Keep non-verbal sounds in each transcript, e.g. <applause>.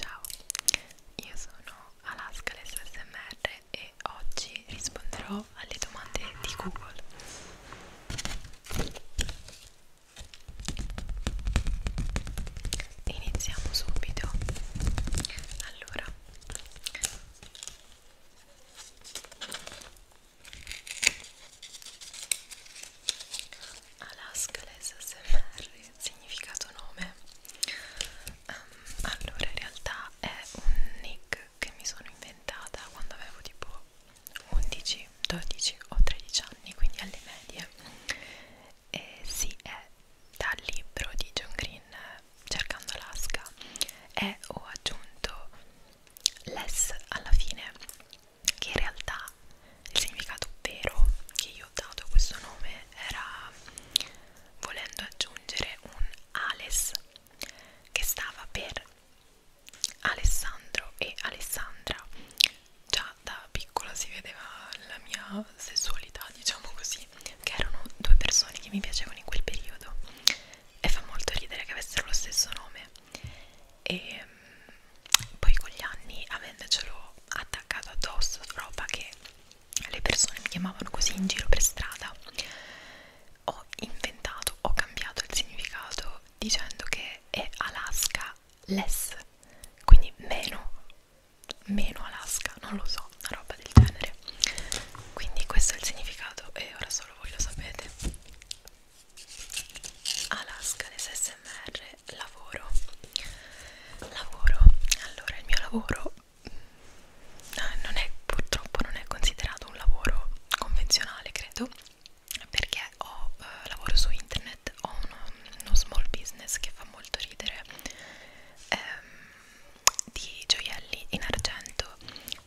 Ciao, io sono Alaska l'SSMR e oggi risponderò alle domande di Google. Iniziamo subito. Allora, Alaska l'SSMR significato nome um, allora in realtà è un nick che mi sono inventata quando avevo tipo 11, 12 o 13 anni quindi alle medie e si sì, è dal libro di John Green cercando Alaska e ho aggiunto less alla fine che in realtà il significato vero che io ho dato questo nome era volendo aggiungere un Ales che stava per Alessandro e Alessandra già da piccola si vedeva la mia sessualità diciamo così che erano due persone che mi piacevano in quel periodo e fa molto ridere che avessero lo stesso nome e poi con gli anni avendocelo attaccato addosso roba che le persone mi chiamavano così in giro per strada ho inventato, ho cambiato il significato dicendo che è Alaska less quindi meno meno Alaska, non lo so, una roba del genere quindi questo è il significato e ora solo voi lo sapete Alaska, l'SMR lavoro lavoro allora il mio lavoro mm, ah, non è purtroppo non è considerato un lavoro convenzionale credo perché ho eh, lavoro su internet ho uno, uno small business che fa molto ridere ehm, di gioielli in argento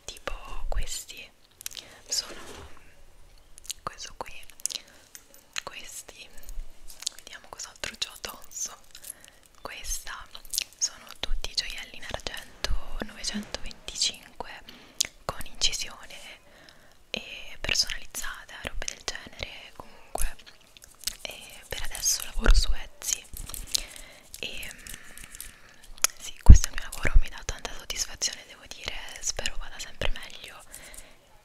tipo questi sono questo qui questi vediamo cos'altro c'ho addosso questa sono tutti gioielli in argento 925 con incisione e personalizzata eh, robe del genere comunque e per adesso lavoro su Etsy e mm, sì questo è il mio lavoro mi dà tanta soddisfazione devo dire spero vada sempre meglio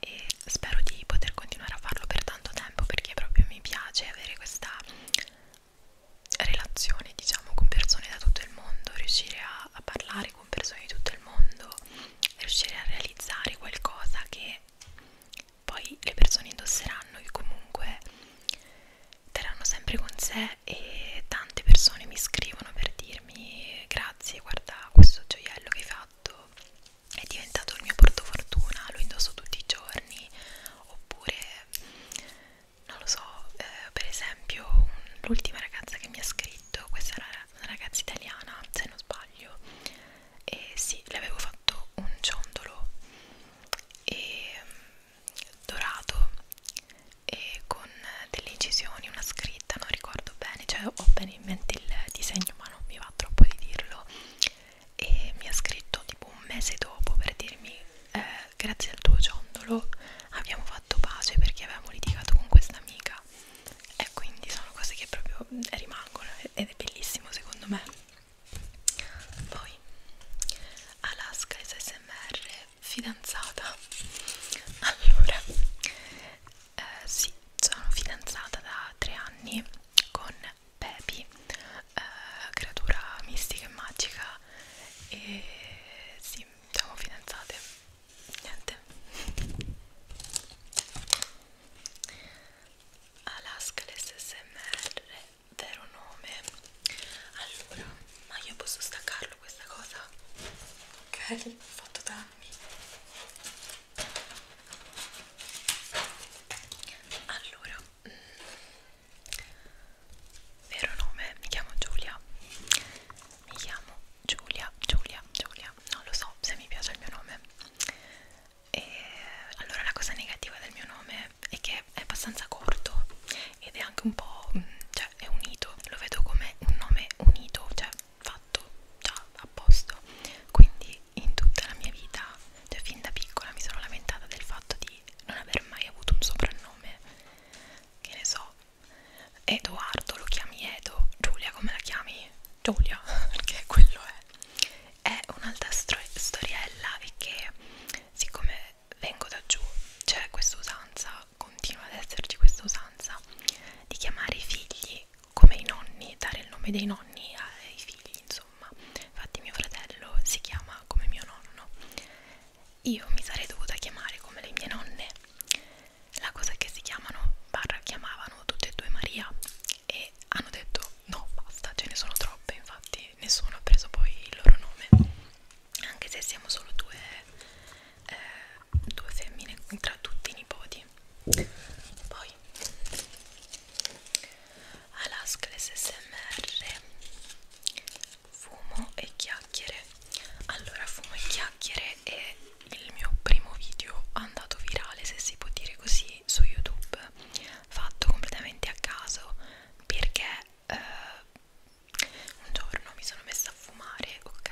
e spero di poter continuare a farlo per tanto tempo perché proprio mi piace avere questa relazione diciamo con persone da tutto il mondo riuscire a, a parlare con persone di tutto il mondo riuscire a realizzare qualcosa che poi le persone indosseranno e comunque terranno sempre con sé e tante persone mi scrivono per dirmi grazie guarda questo gioiello che hai fatto è diventato il mio portofortuna, lo indosso tutti i giorni oppure non lo so, eh, per esempio l'ultima ragazza che mi ha scritto, questa era una ragazza italiana se non sbaglio e sì, le avevo fatto un ciondolo e, dorato e con delle incisioni, una scritta, non ricordo bene, cioè ho ben viene in mente il disegno ma non mi va troppo di dirlo e mi ha scritto tipo un mese dopo per dirmi eh, grazie al tuo ciondolo abbiamo fatto pace perché avevamo litigato con questa amica e quindi sono cose che proprio rimangono ed è bellissimo secondo me poi Alaska SMR fidanzata allora eh, sì, sono fidanzata da tre anni con Pepi, eh, creatura mistica e magica e sì, siamo fidanzate, niente Alaska l'SSMR, vero nome Allora, ma io posso staccarlo questa cosa? Ok, ho fatto danni allora mm, vero nome mi chiamo Giulia mi chiamo Giulia Giulia Giulia non lo so se mi piace il mio nome e allora la cosa negativa del mio nome è che è abbastanza corto ed è anche un po' mm, cioè è unito lo vedo come un nome unito cioè fatto già a posto quindi in tutta la mia vita cioè fin da piccola mi sono lamentata del fatto di non aver mai avuto un soprannome che ne so Edoardo lo chiami Edo Giulia come la chiami? Giulia <laughs> perché quello è è un'altra storiella e che siccome vengo da giù c'è questa usanza continua ad esserci questa usanza di chiamare i figli come i nonni, dare il nome dei nonni ai figli, insomma. Infatti mio fratello si chiama come mio nonno. Io mi sarei dovuta chiamare come le mie nonne. La cosa è che si chiamano, barra chiamavano tutte e due Maria e hanno detto no, basta, ce ne sono troppe, infatti nessuno ha preso poi il loro nome. Anche se siamo solo due, eh, due femmine tra tutti i nipoti. Poi poi Alaskles SMR Fumo e chiacchiere Allora fumo e chiacchiere è il mio primo video andato virale se si può dire così su YouTube fatto completamente a caso perché eh, un giorno mi sono messa a fumare ok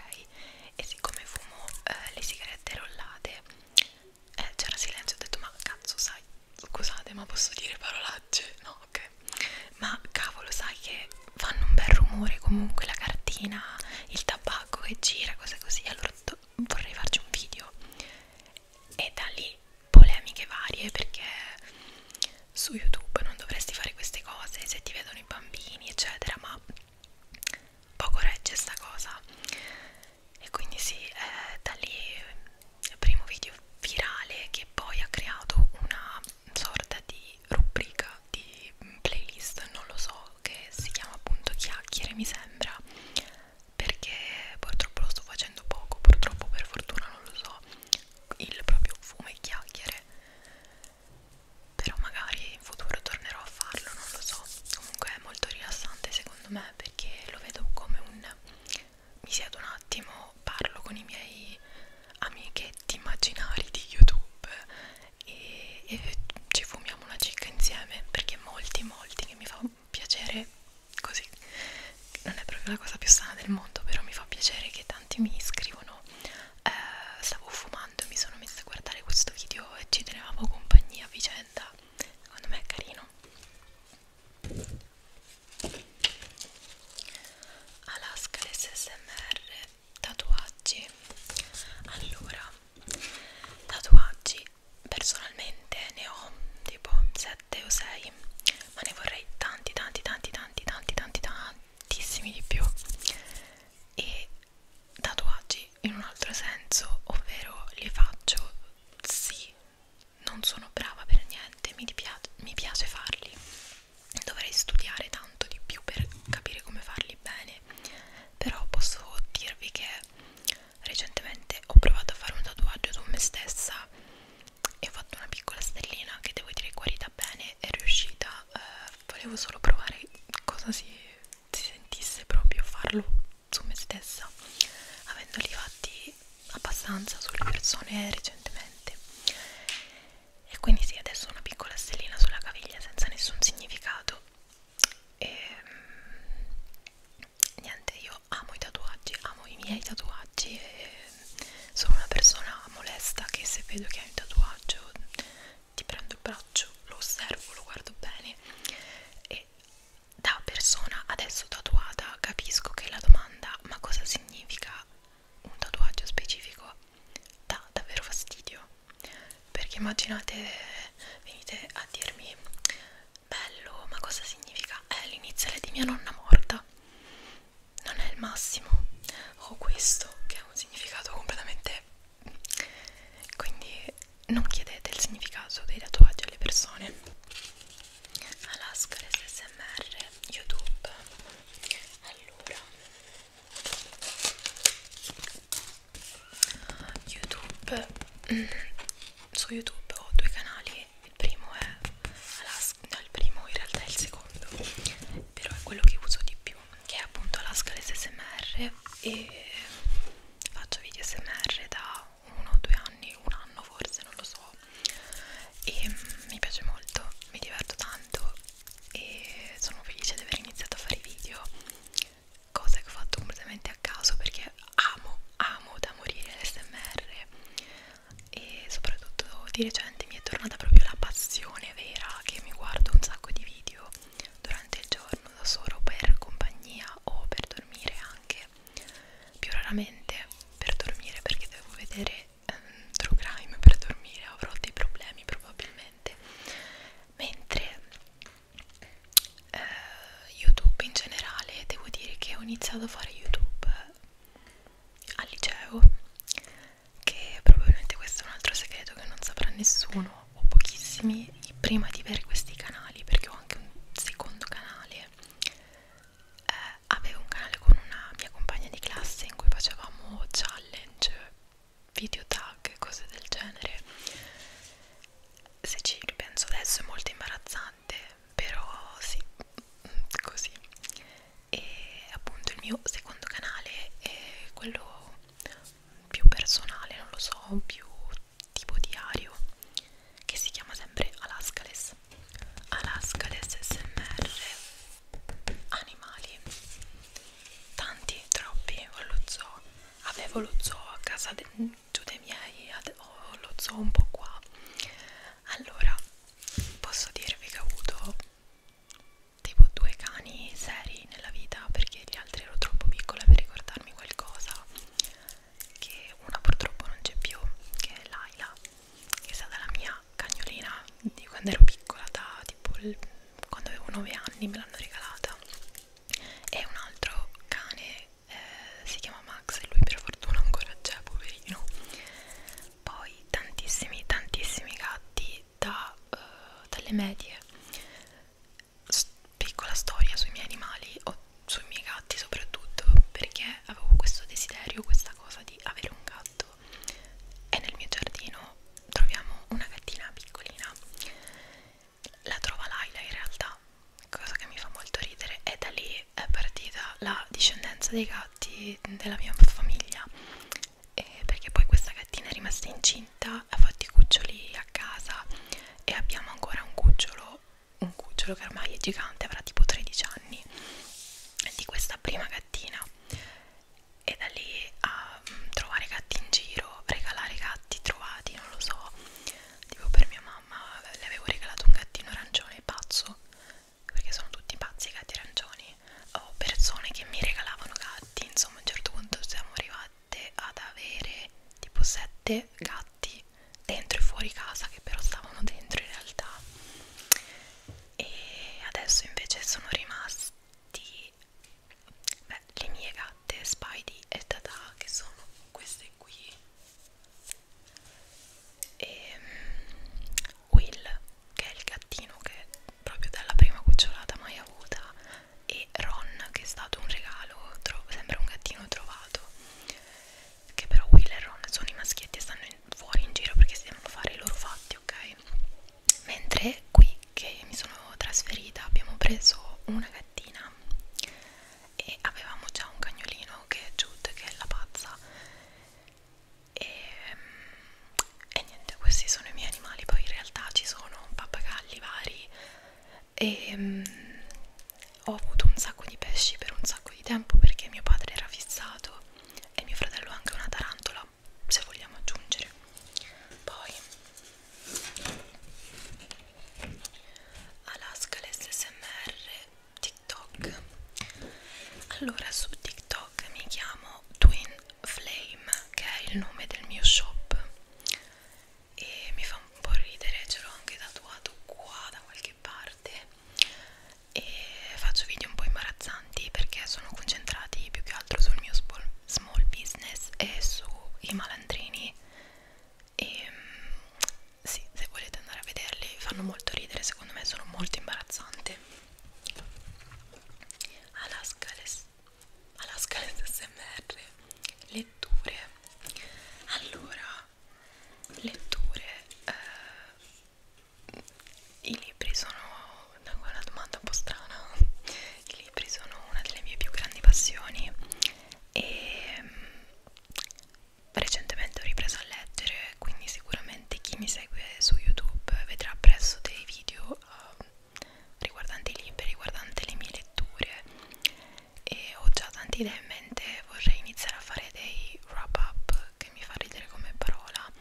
e siccome fumo eh, le sigarette rollate eh, c'era silenzio, ho detto ma cazzo sai, scusate ma posso dire parolacce? No, ok, ma cavolo sai che fanno un bel rumore comunque la cartina, il tabacco che gira, cose così, allora vorrei farci un video e da lì polemiche varie perché su YouTube non dovresti fare queste cose se ti vedono i bambini eccetera ma poco regge sta cosa e quindi sì, eh, da lì il eh, primo video virale che poi ha creato una sorta di rubrica di mm, playlist, non lo so, che si chiama appunto chiacchiere mi sembra perché purtroppo lo sto facendo poco, purtroppo per fortuna non lo so il proprio fumo e chiacchiere però magari in futuro tornerò a farlo, non lo so. Comunque è molto rilassante secondo me perché lo vedo come un mi siedo un attimo, parlo con i miei amichetti immaginari di YouTube e, e ci fumiamo una cicca insieme perché molti, molti che mi fa piacere così. Non è proprio la cosa più sana del mondo, però mi fa piacere che tanti mi scrivono. Eh, stavo fumando, mi sono messa a guardare questo video e ci tenevamo compagnia a vicenda secondo me è carino Alaska l'SSMR tatuaggi allora tatuaggi personalmente ne ho tipo 7 o 6 ma ne vorrei tanti tanti tanti tanti tanti tanti tantissimi di più e tatuaggi in un altro senso, ovvero li faccio sì, non sono brava per niente, mi, piace, mi piace farli, dovrei studiare tanto di più per capire come farli bene, però posso dirvi che recentemente ho provato a fare un tatuaggio su me stessa e ho fatto una piccola stellina che devo dire è guarita bene, è riuscita, eh, volevo solo provare cosa si, si sentisse proprio farlo su me stessa avendoli fatti abbastanza sulle persone recentemente e quindi sì adesso una piccola stellina sulla caviglia senza nessun significato e ehm, niente io amo i tatuaggi amo i miei tatuaggi e sono una persona molesta che se vedo che hai un tatuaggio ti prendo il braccio lo osservo lo guardo bene e e da persona adesso tatuata capisco che la domanda ma cosa significa un tatuaggio specifico dà davvero fastidio perché immaginate venite a dirmi bello ma cosa significa è l'iniziale di mia nonna morta non è il massimo o questo che ha un significato completamente quindi non chiedete il significato dei tatuaggi alle persone Alaska SMR YouTube allora YouTube mm, su YouTube ho due canali il primo è Alaska no, il primo in realtà è il secondo però è quello che uso di più che è appunto Alaska SMR e faccio video smr da uno o due anni, un anno forse, non lo so e mi piace molto, mi diverto tanto e sono felice di aver iniziato a fare video cosa che ho fatto completamente a caso perché amo, amo da morire l'SMR e soprattutto di recente mi è tornata proprio la passione vera che mi guardo un sacco di video durante il giorno da solo per compagnia o per dormire anche più raramente per dormire perché devo vedere um, True Crime per dormire avrò dei problemi probabilmente mentre uh, YouTube in generale devo dire che ho iniziato a fare YouTube al liceo che probabilmente questo è un altro segreto che non saprà nessuno ho pochissimi prima di avere questi canali perché ho anche un secondo canale eh, avevo un canale con una mia compagna di classe in cui facevamo challenge video tag cose del genere se ci ripenso adesso è molto imbarazzante però sì così e appunto il mio secondo canale è quello più personale non lo so più tipo diario che si chiama sempre Alaskales Alaskales SMR animali tanti, troppi, ho lo zoo avevo lo zoo a casa de, giù dei miei ho lo zoo un po' qua allora posso dirvi che ho avuto tipo due cani seri mai nella vita perché gli altri ero troppo piccola per ricordarmi qualcosa che una purtroppo non c'è più che è Laila che è stata la mia cagnolina di quando ero piccola da tipo il, quando avevo 9 anni me l'hanno regalata e un altro cane eh, si chiama Max e lui per fortuna ancora c'è poverino poi tantissimi tantissimi gatti da, uh, dalle medie piccola storia sui miei animali o sui miei gatti soprattutto perché avevo questo desiderio, questa cosa di avere un gatto e nel mio giardino troviamo una gattina piccolina la trova Laila in realtà cosa che mi fa molto ridere e da lì è partita la discendenza dei gatti della mia famiglia eh, perché poi questa gattina è rimasta incinta ha fatto i cuccioli a casa e abbiamo ancora un cucciolo un cucciolo che ormai è gigante avrà tipo 13 anni di questa prima gattina e da lì a mm, trovare gatti in giro regalare gatti trovati non lo so tipo per mia mamma le avevo regalato un gattino arancione pazzo perché sono tutti pazzi i gatti arancioni o persone che mi regalavano gatti insomma a un certo punto siamo arrivati iniziaste ad avere tipo sette gatti dentro e fuori casa che però stavano dentro in realtà e adesso invece sono rimasti beh, le mie gatte Spidey e Tata che sono queste qui e ehm, Will che è il gattino che proprio dalla prima cucciolata mai avuta e Ron che è stato un regalo, sembra un gattino trovato che però Will e Ron sono i maschietti e stanno in, fuori in giro perché si devono fare i loro fatti, ok? Mentre qui che mi sono trasferita abbiamo preso una gattina e avevamo già un cagnolino che è Jude, che è la pazza e, e niente, questi sono i miei animali, poi in realtà ci sono pappagalli vari e um, ho avuto un sacco di pesci per un sacco di tempo perché mio padre era fissato e mio fratello anche una tarantola se vogliamo aggiungere poi Alaska l'SSMR TikTok allora su TikTok mi chiamo Twin Flame che è il nome del mio shop e mi fa un po' ridere, ce l'ho anche tatuato qua da qualche parte e faccio video un po' imbarazzanti perché sono concentrati più che altro sul mio small business e sui malandrini e mm, sì, se volete andare a vederli fanno molto ridere, secondo me sono molto imbarazzante Alaska, les alla scaletta smr letture allora letture eh, i libri sono una domanda un po' strana i libri sono una delle mie più grandi passioni e mm, recentemente ho ripreso a leggere quindi sicuramente chi mi segue su youtube vedrà presso dei video uh, riguardante i libri, riguardante le mie letture e ho già tante idee in mente, vorrei iniziare a fare dei wrap up che mi fa ridere come parola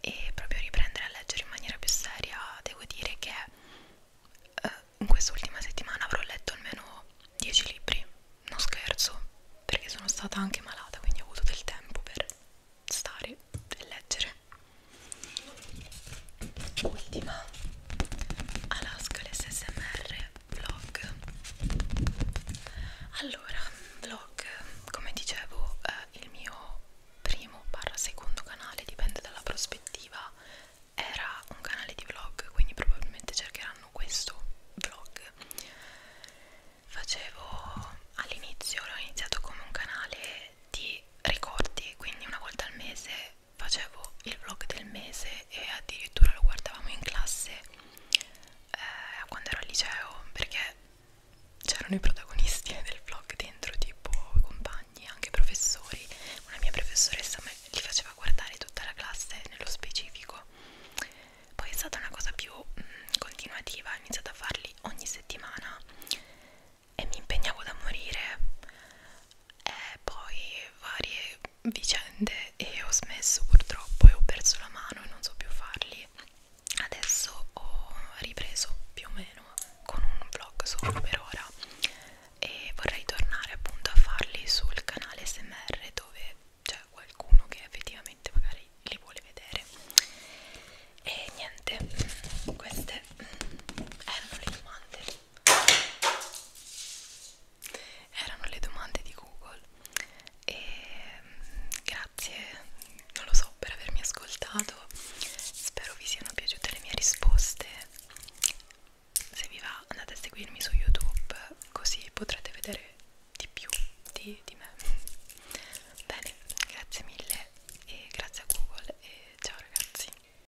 e proprio riprendere a leggere in maniera più seria devo dire che eh, in quest'ultima settimana avrò letto almeno 10 libri, non scherzo perché sono stata anche malata quindi ho avuto del tempo per stare e leggere ultima Alaska l'SSMR vlog allora vlog come dicevo eh, il mio primo barra secondo canale dipende dalla prospettiva era un canale di vlog quindi probabilmente cercheranno questo vlog facevo all'inizio l'ho iniziato come un canale di ricordi quindi una volta al mese facevo il vlog del mese e addirittura lo guardavamo in classe eh, quando ero al liceo perché c'erano i protagonisti <laughs> del vlog dentro tipo i compagni, anche i professori una mia professoressa me li faceva guardare tutta la classe nello specifico poi è stata una cosa più mh, mm, continuativa ho iniziato a farli ogni settimana e mi impegnavo da morire e poi varie vicende e ho smesso purtroppo e ho perso la mano e non so più farli adesso ho ripreso più o meno con un vlog solo per ora e vorrei tornare appunto a farli sul canale smr dove c'è qualcuno che effettivamente magari li vuole vedere e niente queste erano le domande erano le domande di Google e mm, grazie, non lo so, per avermi ascoltato spero vi siano piaciute le mie risposte se vi va andate a seguirmi su YouTube così potrete vedere di più di, di me bene, grazie mille e grazie a Google e ciao ragazzi